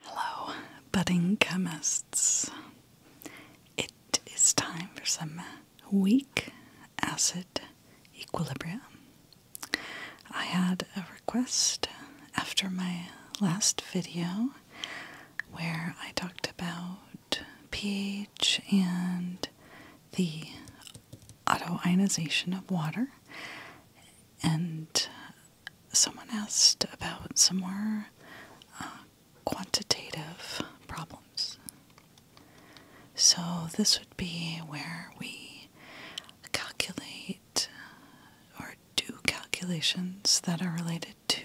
Hello, budding chemists. It is time for some weak acid equilibrium. I had a request after my last video where I talked about pH and the autoionization of water, and someone asked about some more uh, quantitative problems. So, this would be where we calculate or do calculations that are related to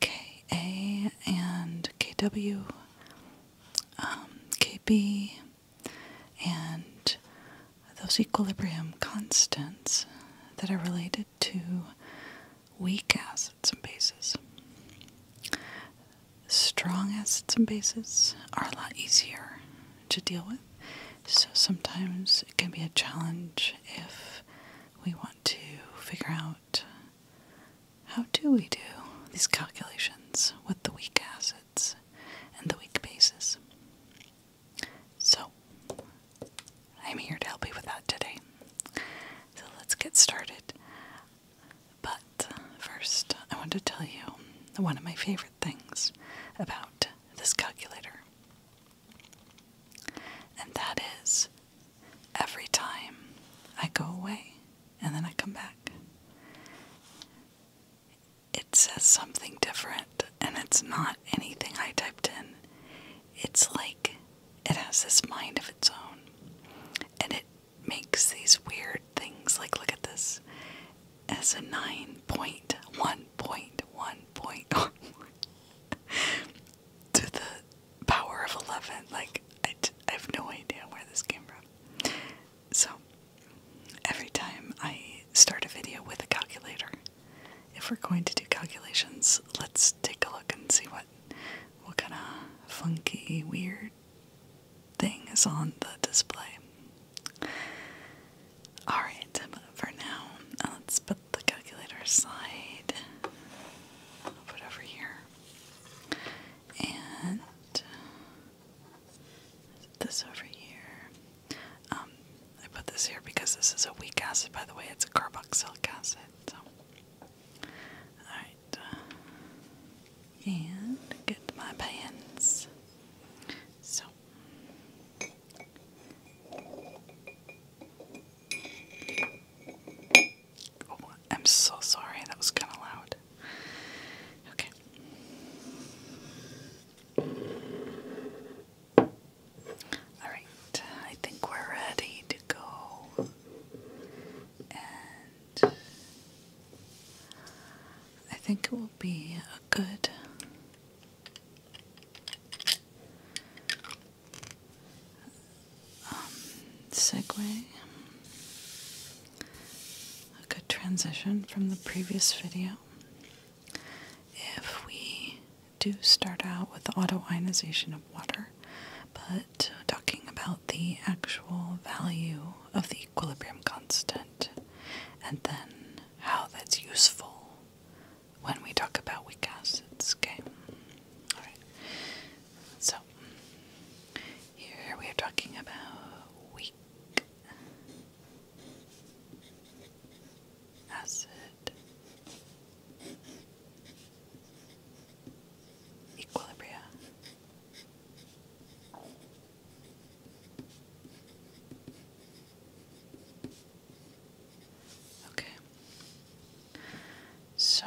KA and KW, um, KB, and those equilibrium constants that are related to weak acids and bases. Strong acids and bases are a lot easier to deal with, so sometimes it can be a challenge if we want to figure out how do we do these calculations with the weak acids and the weak bases. So, I'm here to help you with that today. So, let's get started. But first, I want to tell you one of my favorite things about this calculator. And that is every time I go away and then I come back, it says something different sound, and it's not anything I typed in. It's like it has this mind of its own, and it makes these weird things. Like, look at this as a 9.1.1.1 to the power of 11. Like, I, I have no idea where this came from. So, every time I start a video with a calculator, if we're going to do calculations, let's take a look and see what what kind of funky, weird thing is on the display. Alright, but for now, uh, let's put the calculator aside. put over here. And this over here. Um, I put this here because this is a weak acid, by the way. It's a carboxylic acid. So, all right, uh, and get my pans. So. Oh, I'm so sorry. That was kind of loud. Okay. Alright, I think we're ready to go. And I think it will be a good um, segue, a good transition from the previous video. If we do start out with the autoionization of water, but talking about the actual value of the equilibrium constant and then how that's useful when we talk about weak acids. Okay? Alright. So, here we are talking about weak acid equilibria. Okay. So,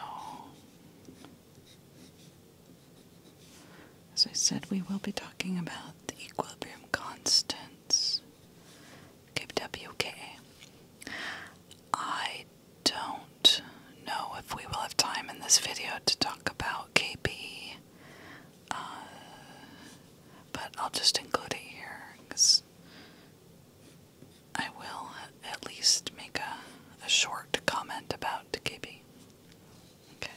as I said, we will be talking about the equilibrium constants Cape I don't know if we will have time in this video to talk about KP, uh, but I'll just include it here because I will at least make a, a short comment about KP. Okay.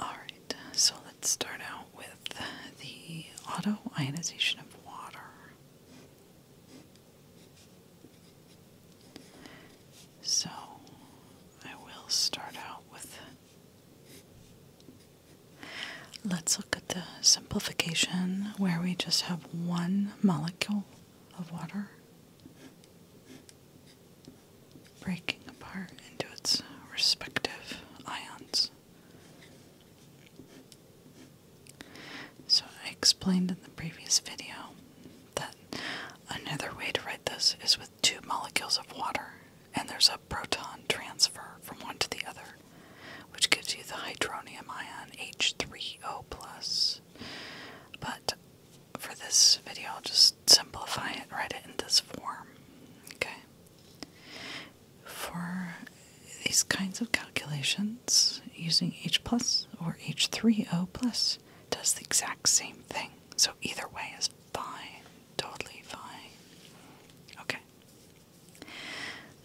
Alright, so let's start out with the autoionization of water. So I will start out with. Let's look at the simplification where we just have one molecule of water breaking apart into its respective ions. So, I explained in the previous video that another way to write this is with two molecules of water, and there's a proton transfer from one to the other, which gives you the hydronium ion H3O. plus. But for this video, I'll just simplify it, write it in this form. Okay. For these kinds of calculations, using H plus or H3O plus does the exact same thing. So either way is fine, totally fine. Okay.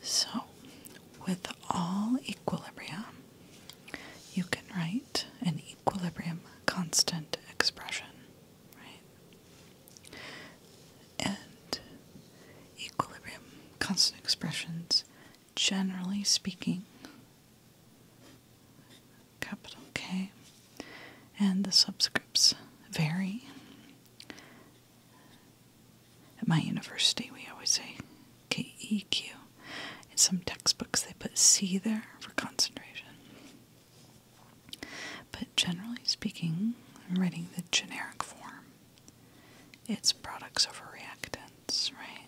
So with all equilibria, you can write an equilibrium constant expression right? And equilibrium, constant expressions, generally speaking, capital K, and the subscripts vary. At my university, we always say KEQ. In some textbooks, they put C there for concentration. But generally speaking, I'm writing the generic form. It's products over reactants, right?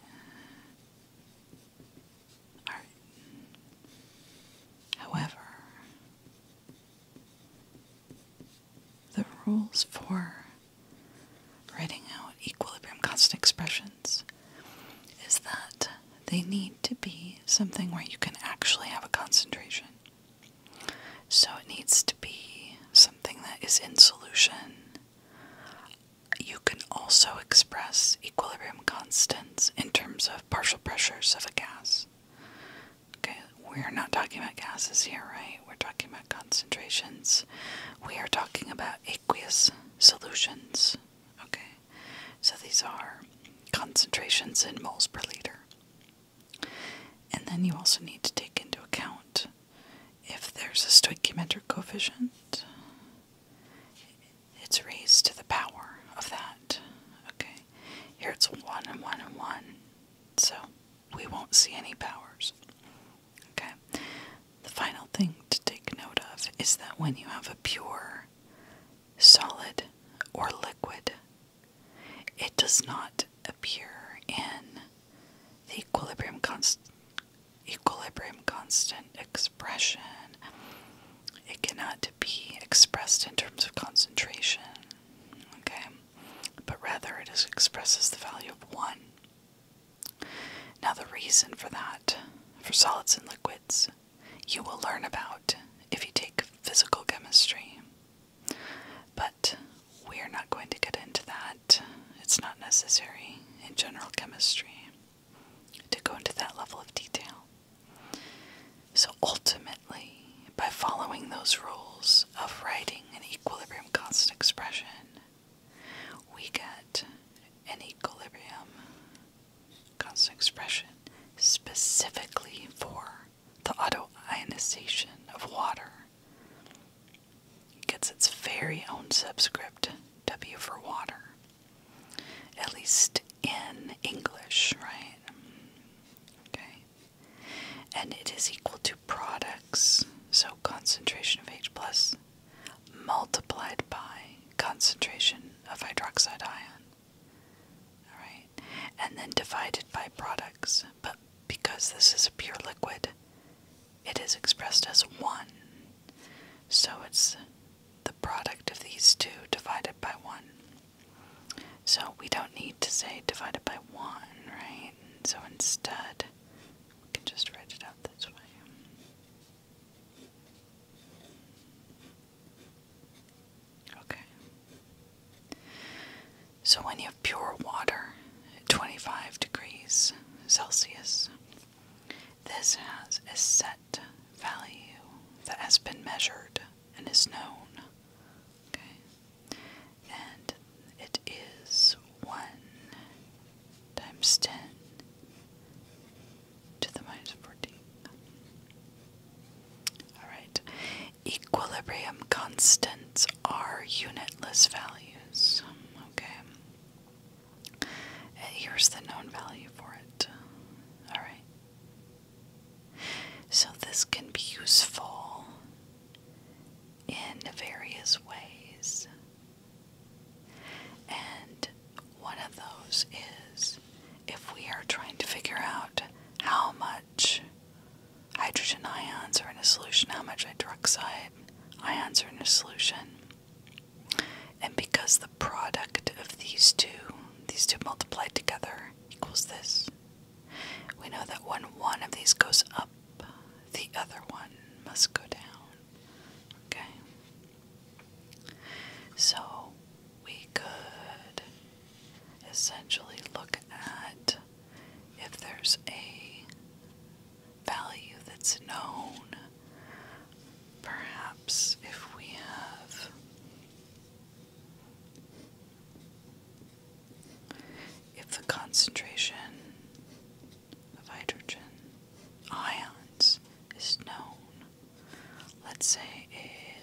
However, the rules for writing out equilibrium constant expressions is that they need to be something where you can actually have a concentration. So it needs to be something that is in solution. You can also express equilibrium constants in terms of partial pressures of a gas. Okay, we're not talking about gases here, right? We're talking about concentrations. We are talking about aqueous solutions. Okay. So these are concentrations in moles per liter. And then you also need to take into account if there's a stoichiometric coefficient, it's raised to the power of that. Okay, here it's 1 and 1 and 1, so we won't see any powers. Okay, the final thing to take note of is that when you have a pure, solid, or liquid it does not appear in the equilibrium, constant expression. It cannot be expressed in terms of concentration, okay? But rather, it expresses the value of 1. Now, the reason for that, for solids and liquids, you will learn about if you take physical chemistry. But we're not going to get into that. It's not necessary in general chemistry to go into that level of detail. So ultimately, by following those rules of writing an equilibrium constant expression, we get an equilibrium constant expression specifically for the autoionization of water. gets its very own subscript, W for water. At least in English, right? Okay. And it is equal to products, so concentration of H plus multiplied by concentration of hydroxide ion. All right. And then divided by products. But because this is a pure liquid, it is expressed as one. So it's the product of these two divided by one. So we don't need to say divided by one, right? So instead, we can just write it out this way. Okay. So when you have pure water at 25 degrees Celsius, this has a set value that has been measured and is known. Okay. And it is 1 times 10 to the minus 14. Alright, equilibrium constants are unitless values. Okay, eh, here's the known value for it. Alright, so this can be useful in various ways. And one of those is if we are trying to figure out how much hydrogen ions are in a solution, how much hydroxide ions are in a solution. And because the product of these two, these two multiplied together, equals this, we know that when one of these goes up, the other one must go down. Okay? So we could essentially look at if there's a value that's known. Perhaps if we have if the concentration of hydrogen ions is known, let's say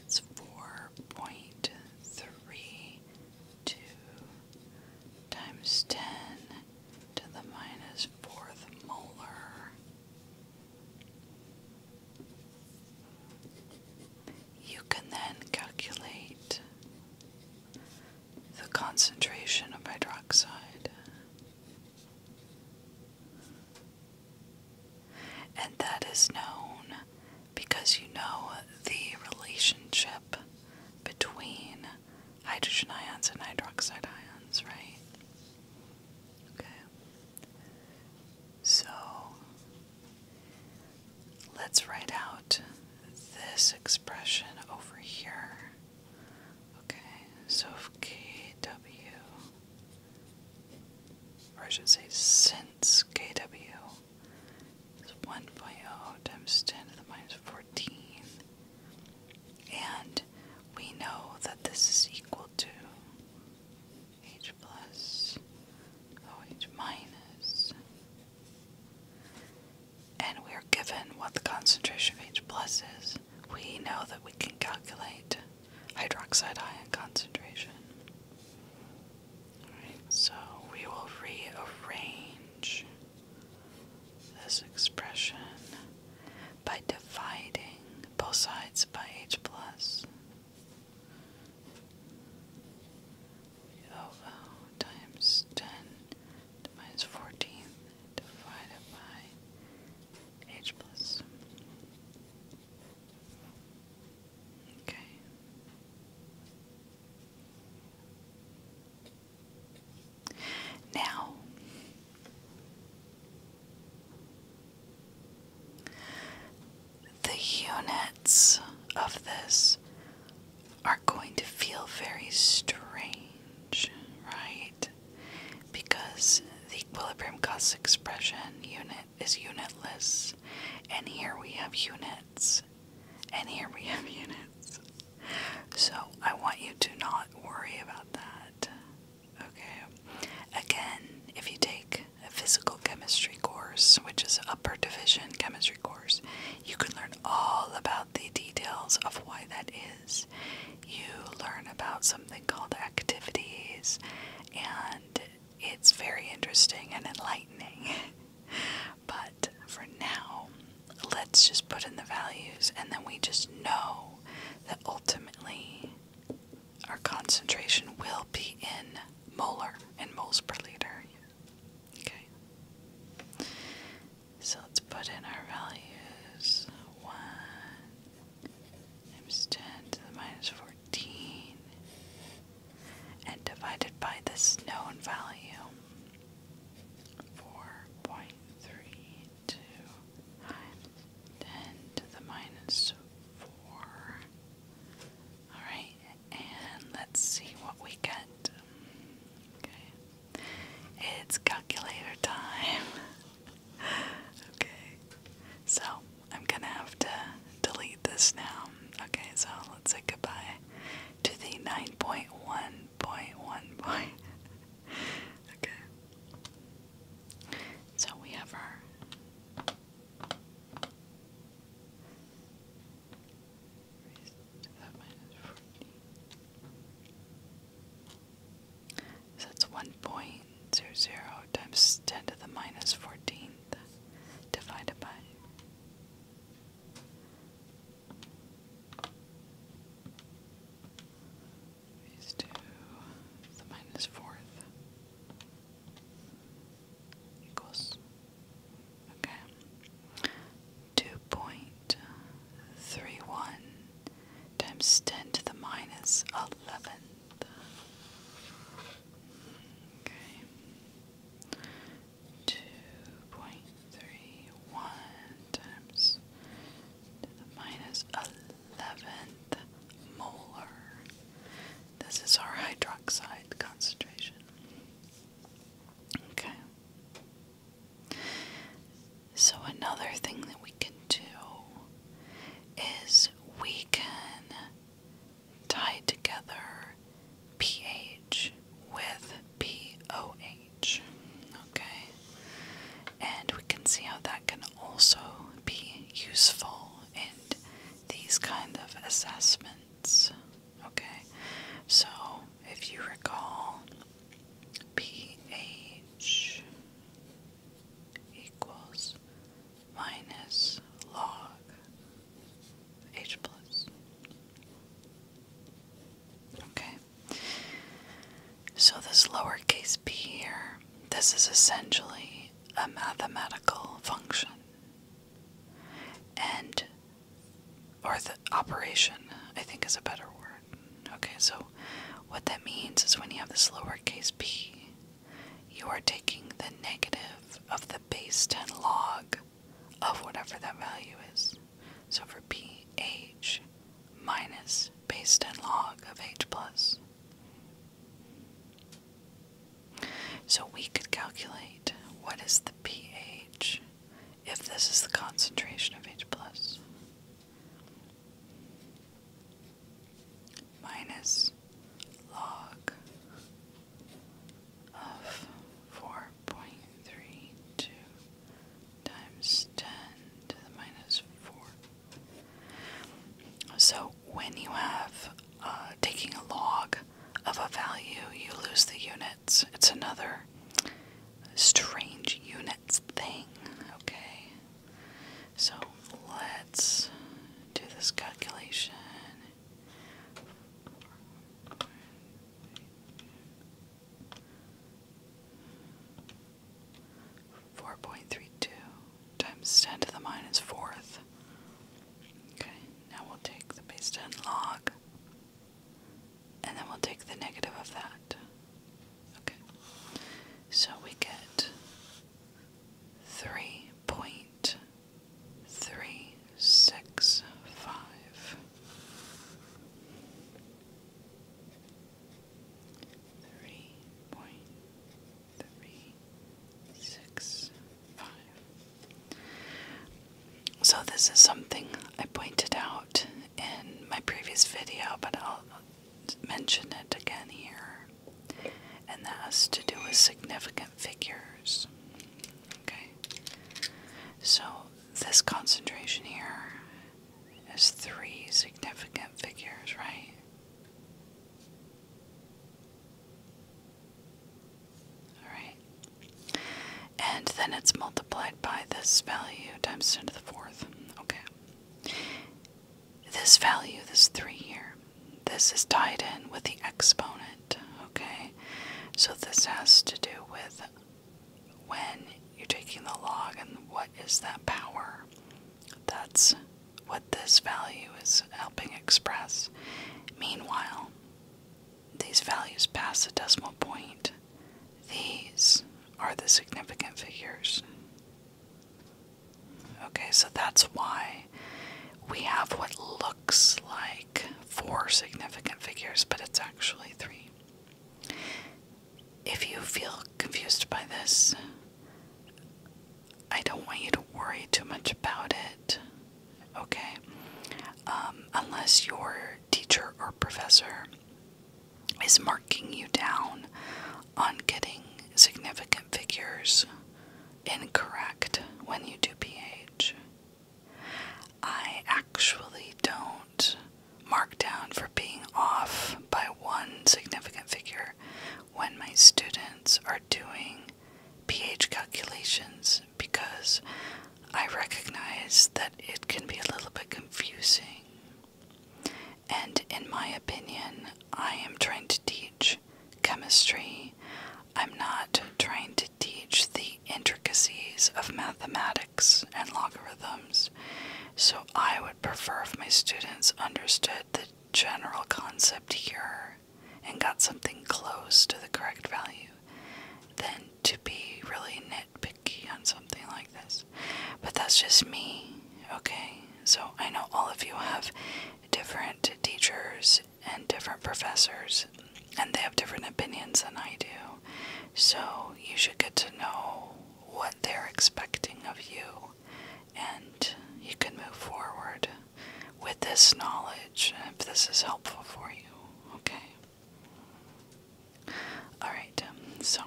it's 4.32 times 10 to the minus fourth molar. You can then calculate the concentration of hydroxide. And that is known because you know the relationship between hydrogen ions and hydroxide ions, right? Okay. So let's write out this expression over here. Okay, so KW or I should say since KW is 1.0 times 10 to the minus 14. And we know that this is equal to h plus OH And we're given what the concentration of H plus is. We know that we can calculate hydroxide ion concentration. so we will rearrange this expression by dividing both sides by h plus over times 10 to minus 14 divided by h plus Okay. Now, the units of this are going to feel very strange, right? Because the equilibrium cost expression unit is unitless, and here we have units, and here we have units. So I want you to not worry about that. Okay. Again, if you take a physical chemistry course, which is upper division chemistry course, you can learn all about the details of why that is. You learn about something called activities and it's very interesting and enlightening. but for now, let's just put in the values, and then we just know that ultimately our concentration will be in molar and moles per liter. Okay. So let's put in our values. One, times 10 to the minus 14 and divided by this known value 4.32 to the minus 4. Alright, and let's see what we get. Okay. It's calculator time. okay. So I'm gonna have to delete this now. Okay, so let's say goodbye to the 9.1.1 point. okay. So we have our Raised to that minus 14. So that's 1.00 times 10 to the minus 14th divided by. These two, the minus fourth equals, okay, 2.31 times 10 to the minus eleven. Okay. Two point three one times to the minus eleventh molar. This is our hydroxide concentration. Okay. So, another thing that we can do is we can tie together pH with POH. Okay? And we can see how that can also be useful in these kind of assessments. Okay? So, if you recall, pH equals minus log h plus. Okay. So this lowercase p here, this is essentially a mathematical function. And or the operation, I think is a better word. Okay, so what that means is when you have this lowercase p you are taking the negative of the base 10 log of whatever that value is. So for p, h minus base 10 log of h plus. So we could calculate what is the pH if this is the concentration of H plus minus log of 4.32 times 10 to the minus 4. So when you have uh, taking a log of a value, you lose the units. It's another strange units thing, okay? So let's do this calculation. Four point three two times ten to the minus fourth. Okay, now we'll take the base ten log and then we'll take the negative of that. Okay. So we get three point three six five. Three point three six five. So this is something I pointed out in my previous video, but I'll mention it again here, and that has to do with significant figures. Okay, so this concentration here is three significant figures, right? Alright. And then it's multiplied by this value times 10 to the fourth. Okay. This value, this three here, this is tied in with the exponent, okay? So this has to do with when you're taking the log and what is that power. That's what this value is helping express. Meanwhile, these values past the decimal point. These are the significant figures. Okay, so that's why we have what looks like four significant figures, but it's actually three. If you feel confused by this, I don't want you to worry too much about it, okay? Um, unless your teacher or professor is marking you down on getting significant figures incorrect when you do pH. I actually don't mark down for being off by one significant figure when my students are doing pH calculations because I recognize that it can be a little bit confusing. And in my opinion, I am trying to teach chemistry. I'm not trying to teach the intricacies of mathematics and logarithms. So I would prefer if my students understood the general concept here and got something close to the correct value than to be really nitpicky on something like this. But that's just me, okay? So I know all of you have different teachers and different professors, and they have different opinions than I do. So you should get to know what they're expecting of you, and you can move forward with this knowledge if this is helpful for you. Okay? Alright, so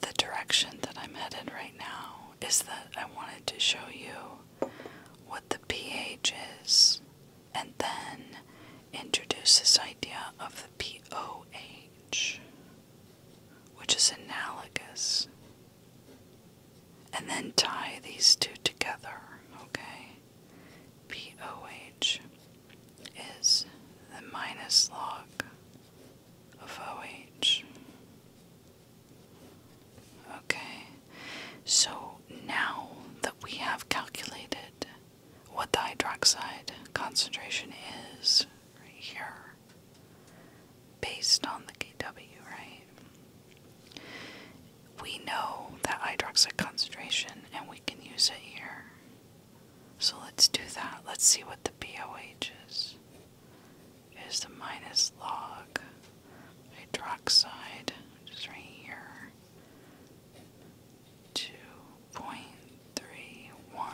the direction that I'm headed right now is that I wanted to show you what the pH is and then introduce this idea of the pOH, which is analogous, and then tie these two together, okay? pOH is the minus log of OH. Okay, so now that we have calculated what the hydroxide concentration is right here, based on the KW, right? We know that hydroxide concentration and we can use it here. So let's do that. Let's see what the BOH is. Is the minus log hydroxide, which right here, 2.31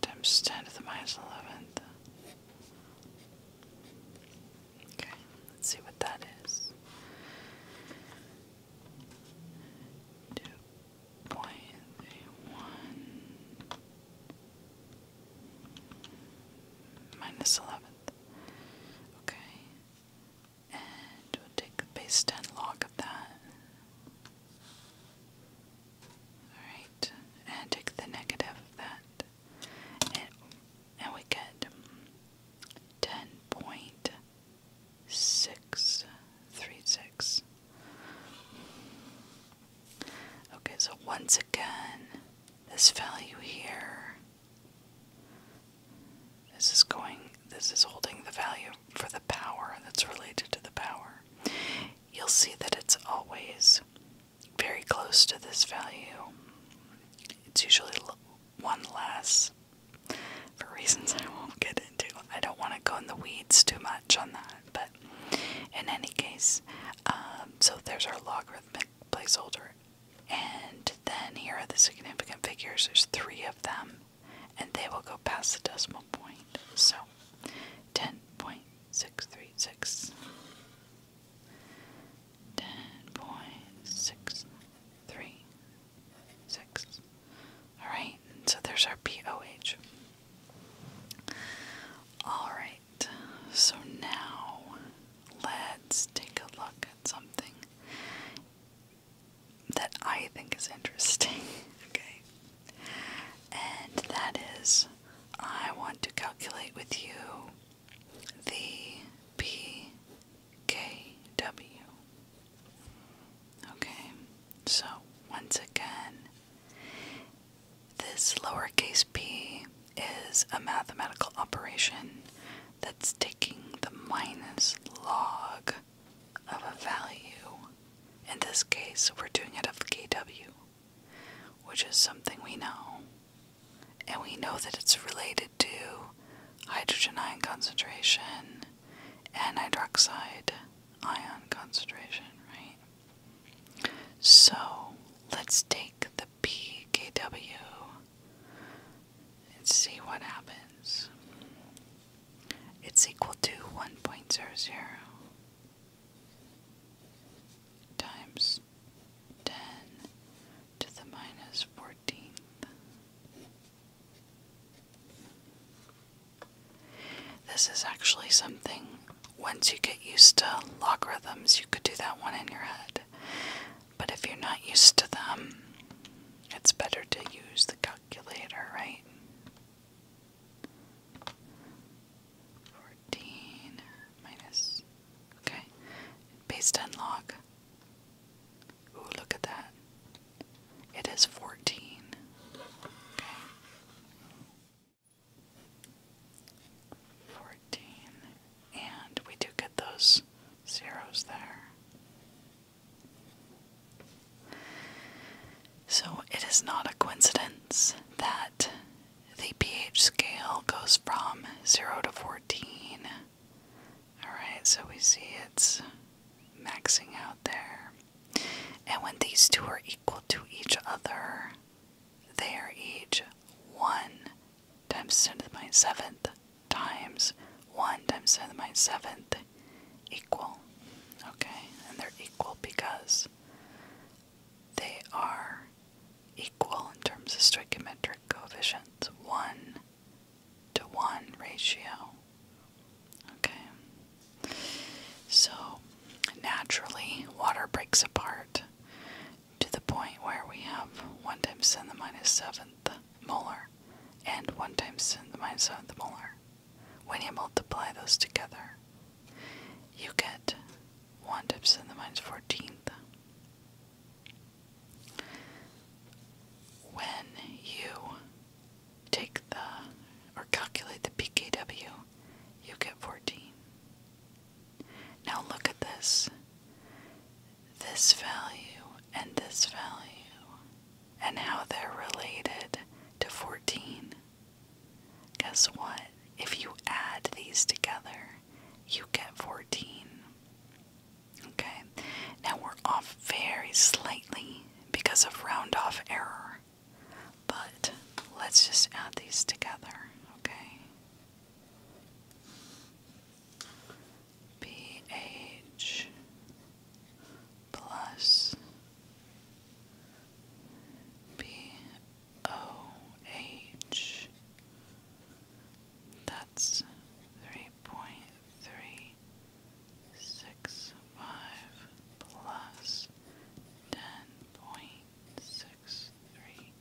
times 10 to the minus 11th. Okay, let's see what that is two point eight one minus eleventh. Okay. And we take the base 10 log of that. Alright. And take the negative of that. And, we get ten point six three six. Okay, so once again, this value here. This is going. This is holding the value for the power that's related to the power. You'll see that it's always very close to this value. It's usually one less for reasons I won't get into. I don't want to go in the weeds too much on that, but in any case, um, so there's our logarithmic placeholder. And then here are the significant figures. There's three of them, and they will go past the decimal point. So 10.636. 10.636 six. Alright, so there's our POH. Alright, so now let's take a look at something that I think is interesting. okay. And that is, I want to calculate with you the P KW. Okay, so once again, this lowercase p is a mathematical operation that's taking the minus log of a value. In this case, we're doing it of kw, which is something we know. And we know that it's related to hydrogen ion concentration and hydroxide ion concentration, right? So let's take the pKw and see what happens. It's equal to 1.00 times 10 to the minus 14th this is actually something, once you get used to logarithms, you could do that one in your head. But if you're not used to them, it's better to use the calculator, right? 14 minus, okay, based on log. Ooh, look at that. It is 14. 14. And we do get those zeros there. So it is not a coincidence that the pH scale goes from 0 to 14 Alright, so we see it's maxing out there. And when these two are equal to each other, they are each 1 times 10 to the minus 7th times 1 times 10 to the minus 7th equal. Okay, and they're equal because they are equal in terms of stoichiometric coefficients. 1 to 1 ratio. Okay. So, naturally, water breaks apart to the point where we have 1 times 10 to the 7th molar and 1 times 10 to the 7th molar. When you multiply those together, you get 1 times 10 to the 14th. When you take the or calculate the pKw, you get 14. Now look at this. This value and this value and how they're related to 14. Guess what? If you add these together, you get 14. Okay, now we're off very slightly because of round off error, but let's just add these together, okay? pH plus BOH. That's three point three six five plus ten point six three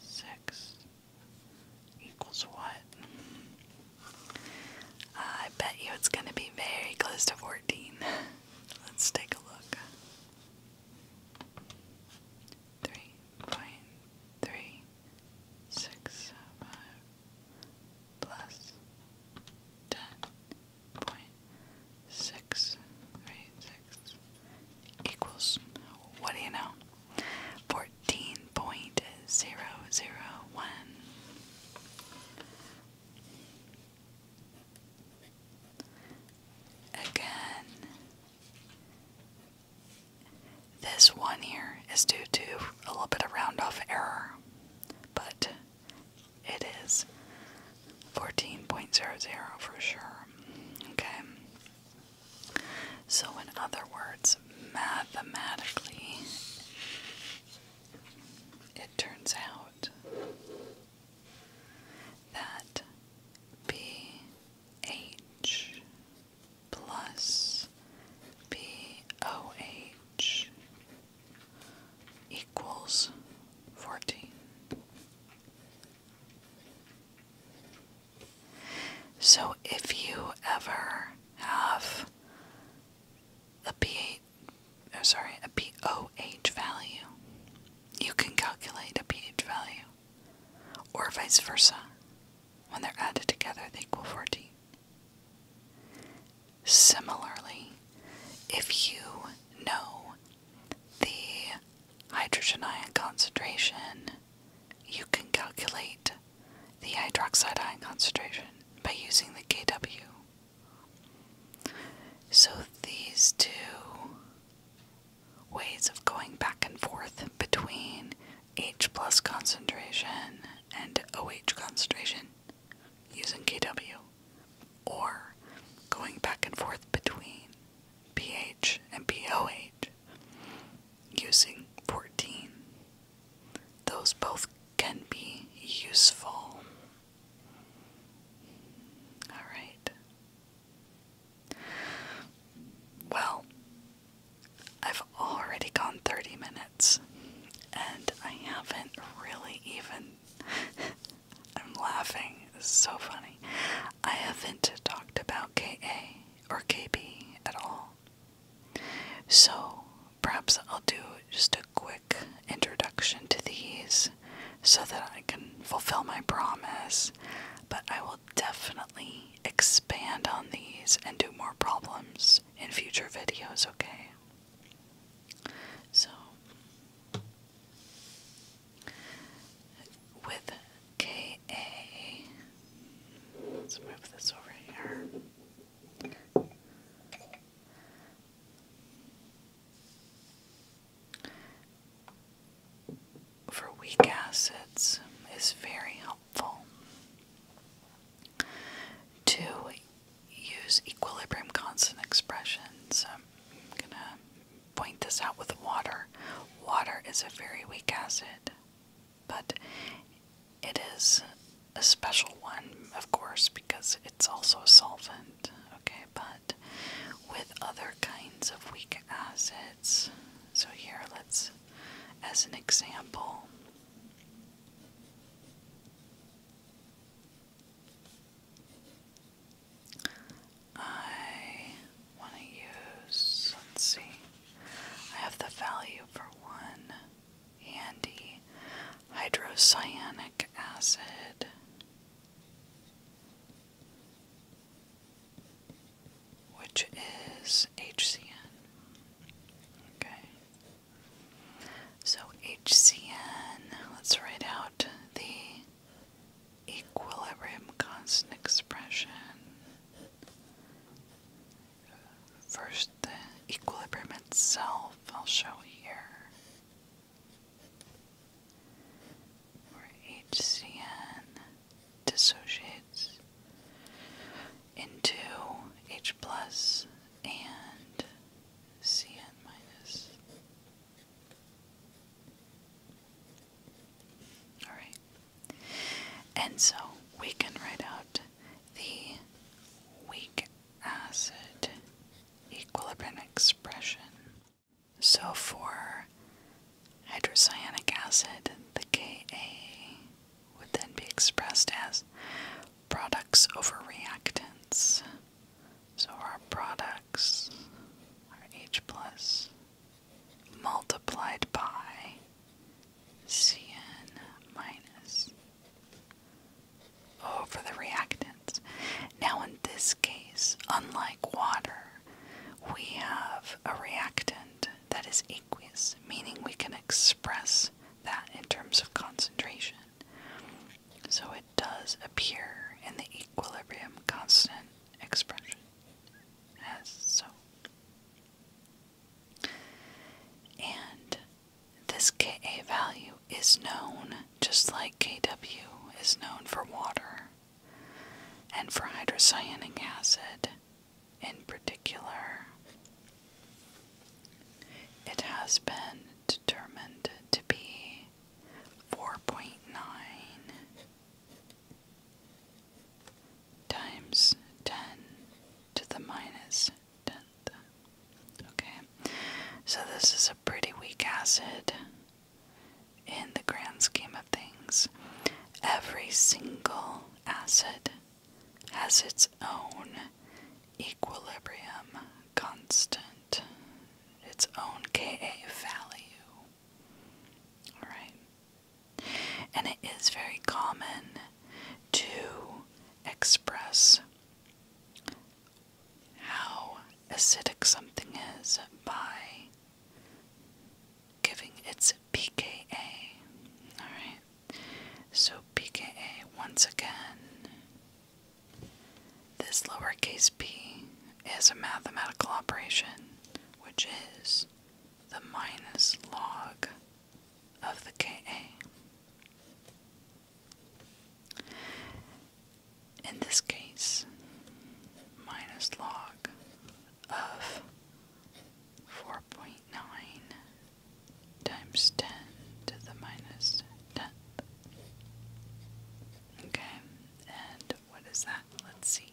six equals what? Uh, I bet you it's going to be very close to 14. Let's take a look. 3.3, 6, 5, plus ten point six three six equals what do you know? Fourteen point zero zero one. Again, this one here is due to a little bit of round off error, but it is 14.00 for sure. Okay. So, in other words, mathematically, it turns out that BH plus BOH equals 14. So if you ever have a pH, oh sorry, a pOH value, you can calculate a pH value, or vice versa. When they're added together, they equal 14. Similarly, if you know the hydrogen ion concentration, you can calculate the hydroxide ion concentration by using the KW. So these two ways of going back and forth between H plus concentration and OH concentration using KW, or going back and forth between pH and pOH using 14. Those both can be useful. Alright. Well, I've already gone 30 minutes and I haven't really even. I'm laughing, it's so funny. I haven't talked about KA or KB at all. So perhaps I'll do just a quick introduction to these so that I can fulfill my promise, but I will definitely expand on these and do more problems in future videos, okay? So, with KA, let's move this over here. For weak acids is very helpful to use equilibrium constant expressions. I'm gonna point this out with water. Water is a very weak acid, but it is a special one, of course, because it's also a solvent. Okay, but with other kinds of weak acids, so here let's, as an example, I want to use, let's see, I have the value for one handy hydrocyanic acid. Which is HCN. Okay. So HCN, let's write out the equilibrium constant expression. First, the equilibrium itself, I'll show here. Where HCN dissociates into H plus and Cn minus. Alright. And so we can write out the weak acid equilibrium expression. So for hydrocyanic acid, the Ka would then be expressed as products over reactants. So our products are H plus multiplied by Cn minus over the reactants. Now in this case, unlike water, we have a reactant that is aqueous, meaning we can express that in terms of concentration. So it does appear in the equilibrium constant expression as so. And this Ka value is known just like Kw is known for water. And for hydrocyanic acid, in particular. It has been determined to be 4.9 times 10 to the minus Okay, so this is a pretty weak acid in the grand scheme of things. Every single acid has its own equilibrium constant, its own Ka value. Alright? And it is very common to express how acidic something is by giving its pKa. Alright, so pKa once again, this lowercase p is a mathematical operation which is the minus log of the Ka. In this case, minus log of 4.9 times 10 to the minus 10th. Okay, and what is that? Let's see.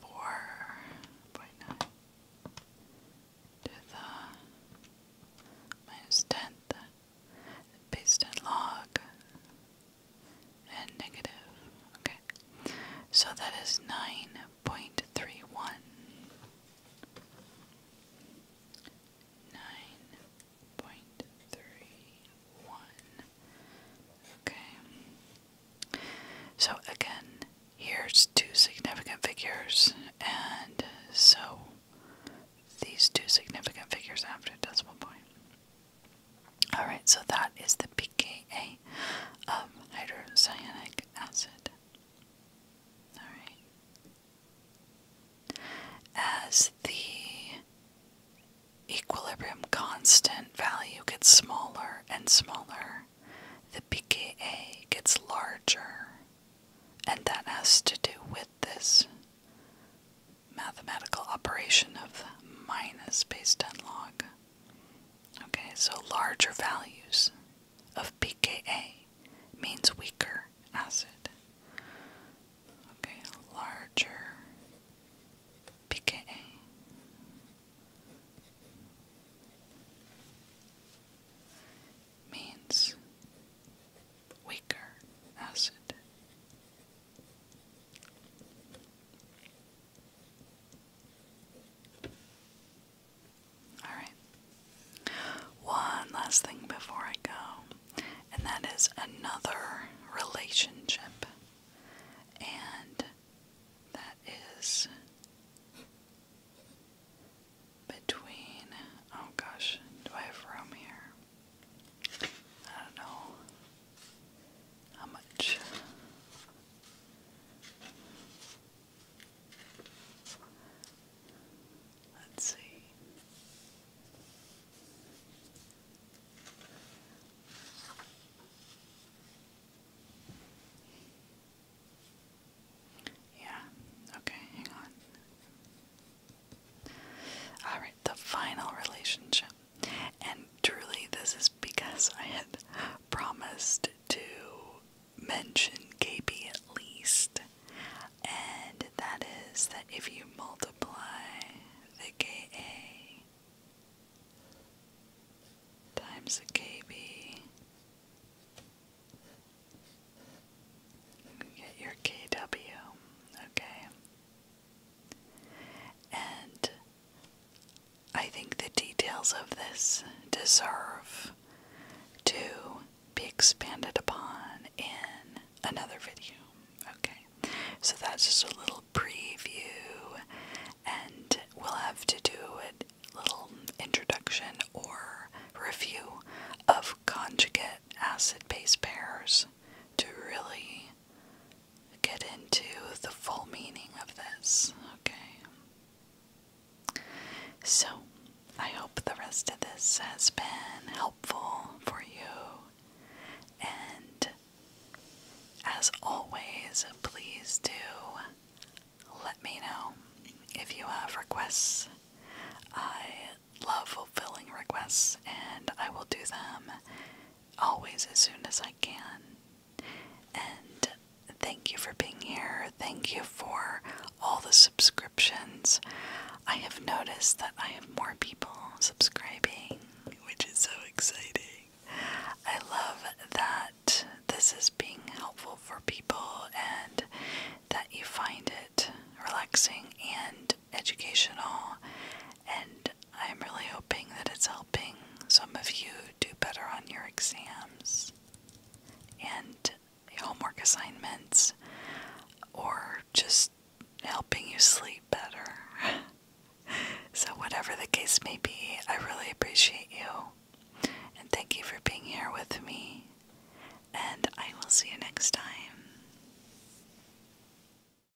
Four point nine to the minus tenth based on log and negative. Okay. So that is 9.31. 9.31. Okay. So again, here's two significant figures, and so these two significant figures after decimal point. All right, so that is the pKa of hydrocyanic acid. All right. As the equilibrium constant value gets smaller and smaller, the pKa gets larger, and that has to do with this mathematical operation of minus based on log. Okay, so larger values of pKa means weaker acid. Okay, larger pKa. Means weaker acid. Alright. One last thing before I go, and that is another relationship, and that is between. Oh gosh, do I have room here? I don't know how much let's see yeah, okay, hang on. All right, the final relationship. And truly, this is because I had promised to mention KB at least. And that is that if you multiply the KA times the KB, you get your KW, okay? And I think the details of this deserve to be expanded upon in another video. Okay, so that's just a little preview, and we'll have to do a little introduction or review of conjugate acid base pairs to really get into the full meaning of this, okay? So, I hope the rest of this has been helpful for you. And as always, please do let me know if you have requests. I love fulfilling requests and I will do them always as soon as I can. And thank you for being here. Thank you for all the subscriptions. I have noticed that I have more people subscribing, which is so exciting. I love that this is being helpful for people and that you find it relaxing and educational, and I'm really hoping that it's helping some of you do better on your exams and homework assignments or just helping you sleep better. so, whatever the case may be, I really appreciate you and thank you for being here with me. And I will see you next time.